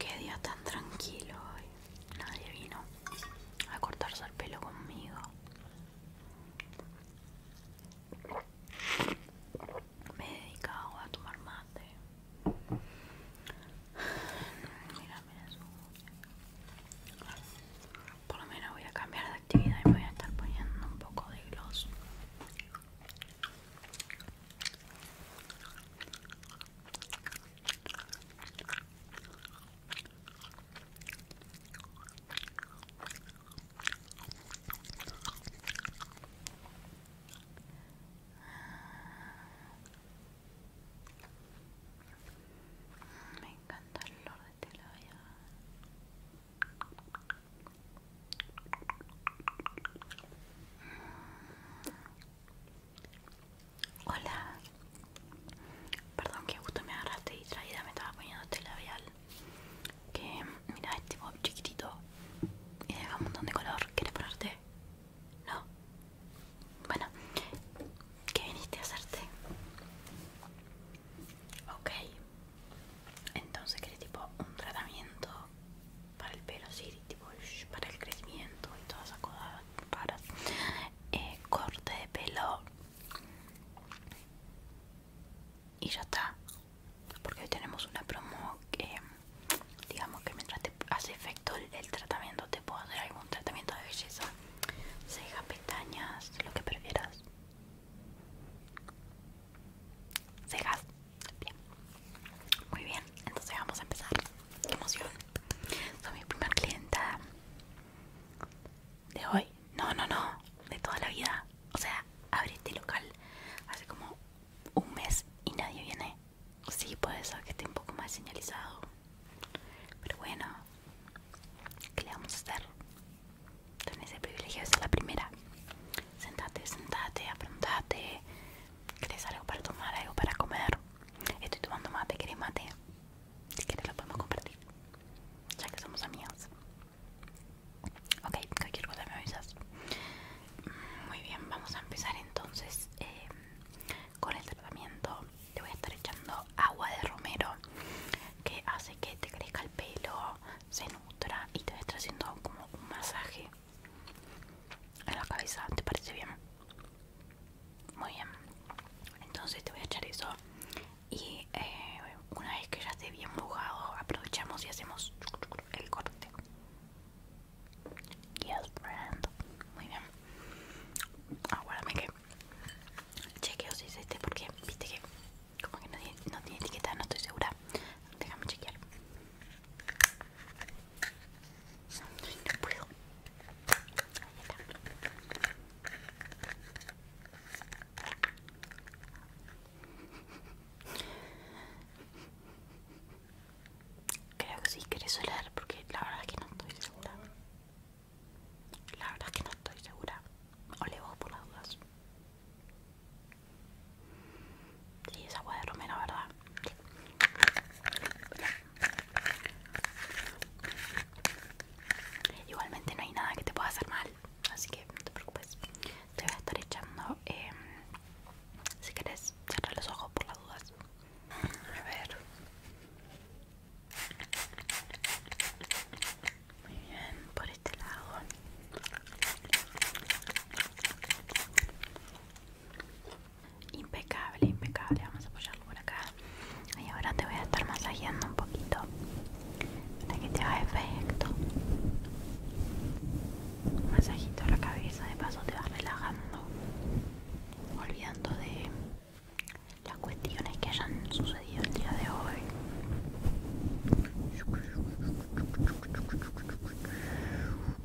Qué día tan tranquilo hoy. Nadie vino a cortarse el pelo conmigo me he dedicado a tomar mate mira mira eso por lo menos voy a cambiar de actividad y voy a estar poniendo un poco de gloss me encanta el olor de telabia. Hola. Perdón que justo me agarraste y traída me estaba poniendo este labial. Que mira, es este tipo chiquitito y deja un montón de color. ¿Quieres ponerte? No. Bueno, ¿qué viniste a hacerte? Ok. Entonces querés tipo un tratamiento para el pelo, sí, tipo para el crecimiento y todas esas cosas para eh, corte de pelo y ya está porque hoy tenemos una promo que digamos que mientras te hace efecto el, tratamiento te puedo hacer algún tratamiento de belleza cejas, pestañas lo que prefieras cejas muy bien entonces vamos a empezar emoción soy mi primer clienta de hoy, no, no, no, de toda la vida. O sea, abrí este local hace como un mes y nadie viene. Sí, puede ser que esté un poco más señalizado. Pero bueno, ¿qué le vamos a hacer? Tenés el privilegio de ser la primera. Sentate, sentate, afrontate. ¿Querés algo para tomar, algo para comer? Estoy tomando mate, ¿querés mate? Si quieres lo podemos compartir. Ya que somos amigos. Ok, cualquier cosa me avisas. Muy bien, vamos a empezar entonces eh, con el tratamiento. Te voy a estar echando agua de romero que hace que te crezca el pelo, se nutra y te voy a estar haciendo como un masaje en la cabeza. ¿Te parece bien? Muy bien. Entonces te voy a echar eso. Y eh, una vez que ya esté bien mojado, aprovechamos y hacemos el corte. Yes, friend. Muy bien. Aguárdame que chequeo si es este porque viste que como que no no tiene etiqueta, no estoy segura. Déjame chequear. Creo que sí querés oler porque la verdad es que no estoy segura. La verdad es que no estoy segura. O le voy por las dudas. Sí, es agua de romero, ¿verdad? Igualmente no hay nada que te pueda hacer mal, así que no te preocupes. Te voy a estar echando, em, si querés, cerrar los ojos por las dudas. A ver. Muy bien, por este lado. Impecable, impecable. Vamos a apoyarlo por acá. Y ahora te voy a estar masajeando un poquito para que te haga efecto. masajito a la cabeza, de paso te vas relajando, olvidando de las cuestiones que hayan sucedido el día de hoy.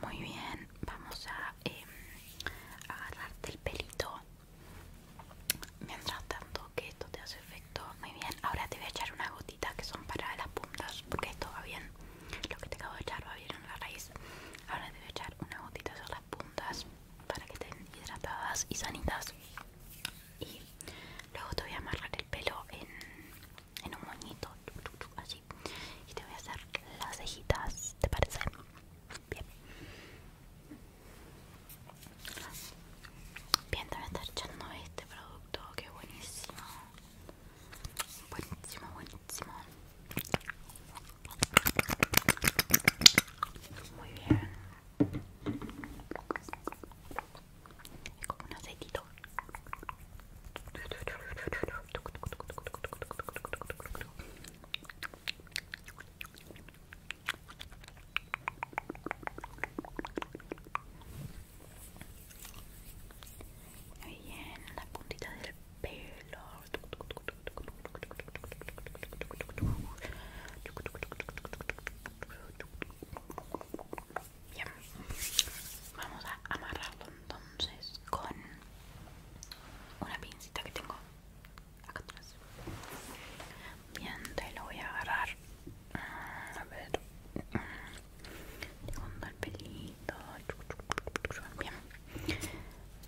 Muy bien, vamos a eh, agarrarte el pelito mientras tanto que esto te hace efecto muy bien ahora te voy a echar una gotita que son para las puntas porque esto va bien lo que te acabo de echar va bien en la raíz ahora te voy a echar una gotitas a las puntas para que estén hidratadas y sanitas y luego te voy a amarrar el pelo en, en un moñito así y te voy a hacer las cejitas te parece bien Bien, también está echando este producto, que buenísimo. Buenísimo, buenísimo. Muy bien. Es como un aceitito bien, la puntita del pelo. vamos a amarrarlo entonces con una pincita que tengo acá atrás. Bien, te lo voy a agarrar. Mm, a ver. Segundo mm. el pelito. Bien.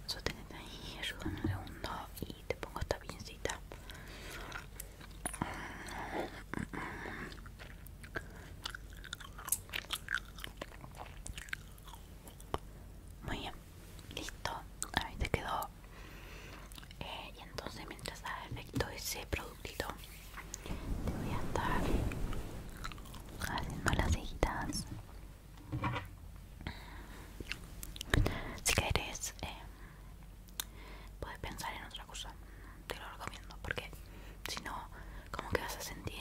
Sostenete ahí, ayúdame un segundo y te pongo esta pincita. Mm, Muy bien, listo. Ahí te quedó eh, y entonces mientras haga efecto ese productito te voy a estar haciendo las cejitas si querés eh, puedes pensar en otra cosa te lo recomiendo porque si no como que vas a sentir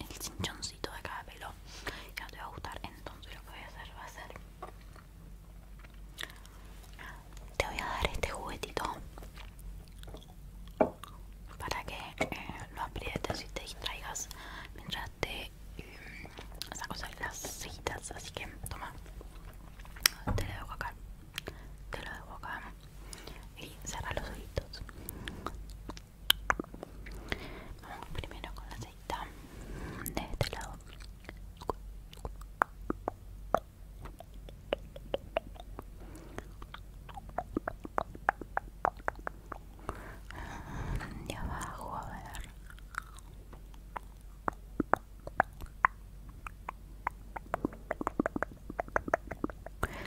el, chinchoncito de cada pelo que no te va a gustar entonces lo que voy a hacer va a ser te voy a dar este juguetito para que eh, lo aprietes y te distraigas mientras te sacas mm, saco las cejitas Así que toma, te lo debo acá, te lo dejo acá y saca los ojitos. Vamos primero con las de este lado de abajo a ver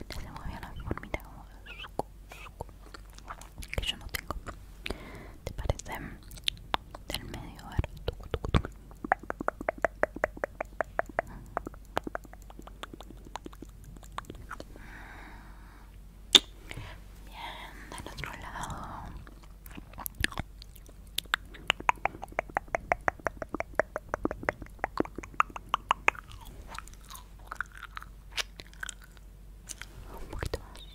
ya se mueve bien la formita que yo no tengo ¿te parece? del medio a Bien, del otro lado. Un poquito más.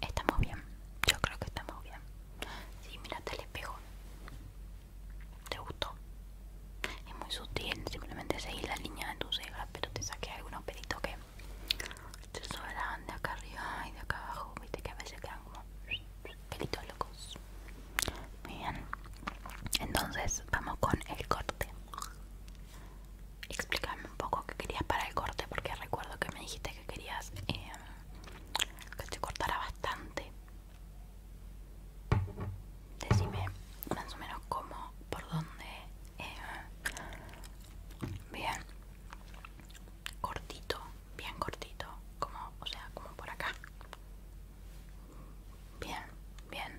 estamos bien. Yo creo que estamos bien. Sí, mírate el espejo. ¿Te gustó? Es muy sutil, simplemente seguir la línea de tus cejas, pero te saqué algunos pelitos que te sobran de acá arriba y de acá abajo. Viste que a veces quedan como pelitos locos. Muy bien. Entonces, vamos con el corte explícame un poco qué querías para el corte, porque recuerdo que me dijiste que querías em, que te cortara bastante. Decime más o menos cómo, por dónde. Em, bien, cortito, bien cortito, como, o sea, como por acá. Bien, bien.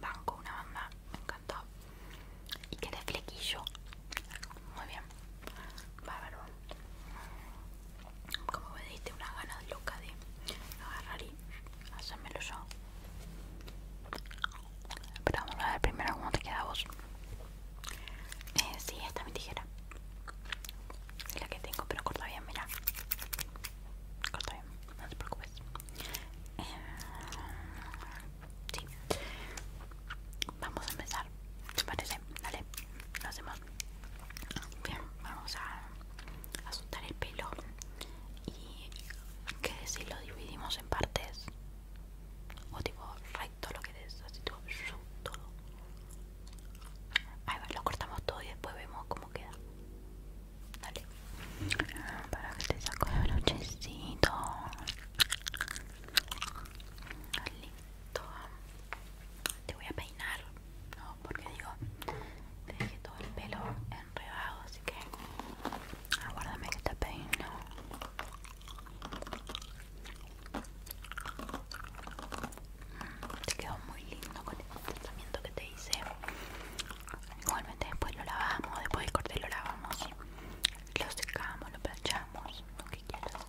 Banco, una banda, me encantó y que flequillo muy bien bárbaro como me diste una gana loca de agarrar y hacérmelo yo pero vamos a ver primero cómo te queda a vos eh, si esta es mi tijera es la que tengo pero corta bien, mira corta bien, no te preocupes eh, Sí. Vamos a empezar. ¿Te parece? Dale, lo hacemos. Bien, vamos a asustar el pelo. Y qué decir lo dividimos en partes. O tipo recto lo que es, así tipo todo. Ahí va, lo cortamos todo y después vemos cómo queda. Dale. Para que te saco el brochecito lindo Te voy a peinar, no, porque digo, te dejé todo el pelo enredado, así que aguárdame ah, que te peino. Te quedó muy lindo con este tratamiento que te hice. Igualmente después lo lavamos, después del corte lo lavamos lo secamos, lo planchamos, lo que quieras.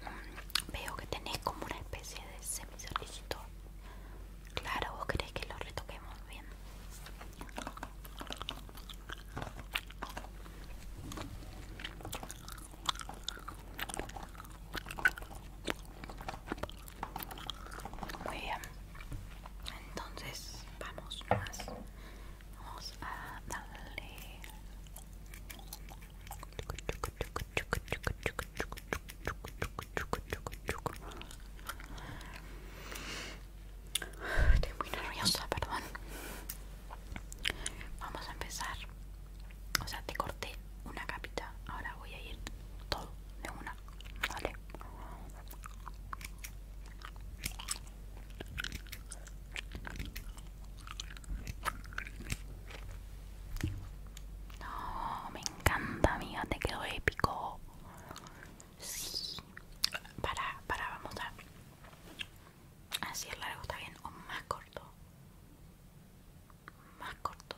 Mm, veo que tenés como una especie de semisolicito. Claro, vos querés que lo retoquemos bien. Muy bien. Entonces, vamos más. Vamos a darle. Estoy muy nerviosa, perdón. Vamos a empezar. O sea, te corté una capita. Ahora voy a ir todo de una. Vale. No, oh, me encanta, amiga, te quedó épico. Sí. Para, para, vamos a... Así largo, está bien, o más corto más corto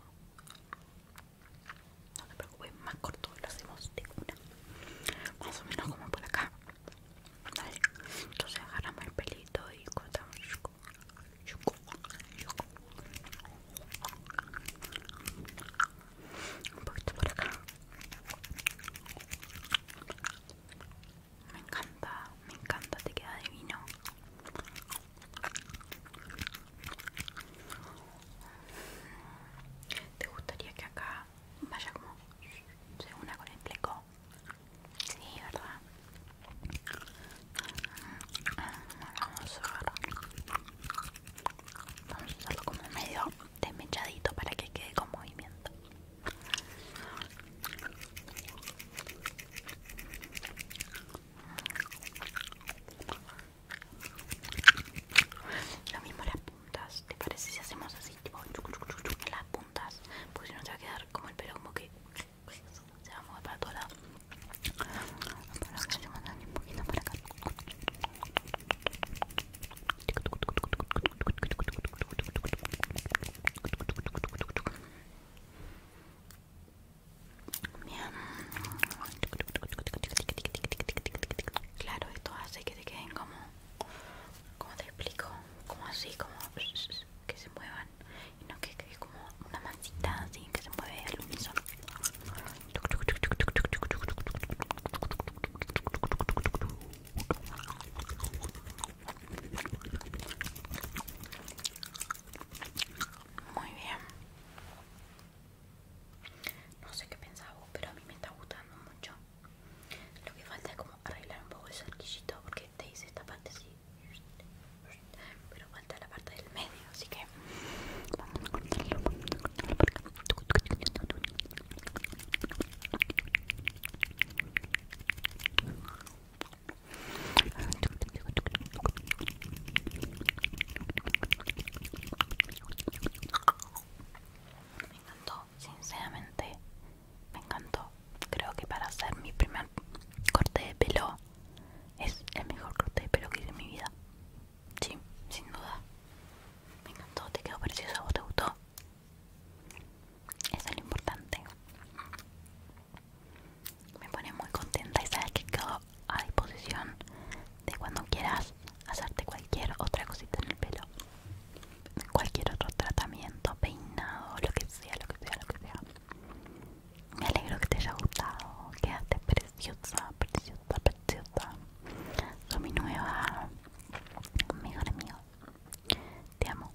no te preocupes más corto lo hacemos de una más o menos como por acá entonces agarramos el pelito y cortamos un poquito por acá me encanta, me encanta, te queda divino ¿Te gustaría que acá vaya como se una con el fleco? Sí, ¿verdad? Vamos a usarlo Vamos a hacerlo como medio desmechadito para que quede con movimiento. Lo mismo las puntas, ¿te parece si hacemos así? las puntas, porque si no se va a quedar como el pelo como que se va a mover para todas un poquito acá. Bien. Claro, esto hace que se queden como, como te explico, como así, como que se muevan y no que quede como una mancita así que se mueve al unísono. Muy bien. No sé qué pensaba pero a mí me está gustando mucho. Lo que falta es como arreglar un poco el cerquillito porque te hice esta parte Pero falta la parte del medio, así que vamos a cortarlo. Me encantó, sinceramente, me encantó. Creo que para hacer mi primer corte de pelo es el mejor corte de pelo que hice en mi vida. Sí, sin duda. Me encantó, te quedó precioso, ¿vos te gustó? Eso es lo importante me pone muy contenta y sabes que quedo a disposición de cuando quieras hacerte cualquier otra cosita en el pelo cualquier otro tratamiento peinado lo que sea lo que sea lo que sea me alegro que te haya gustado quedaste preciosa preciosa preciosa soy mi nueva mejor amigo te amo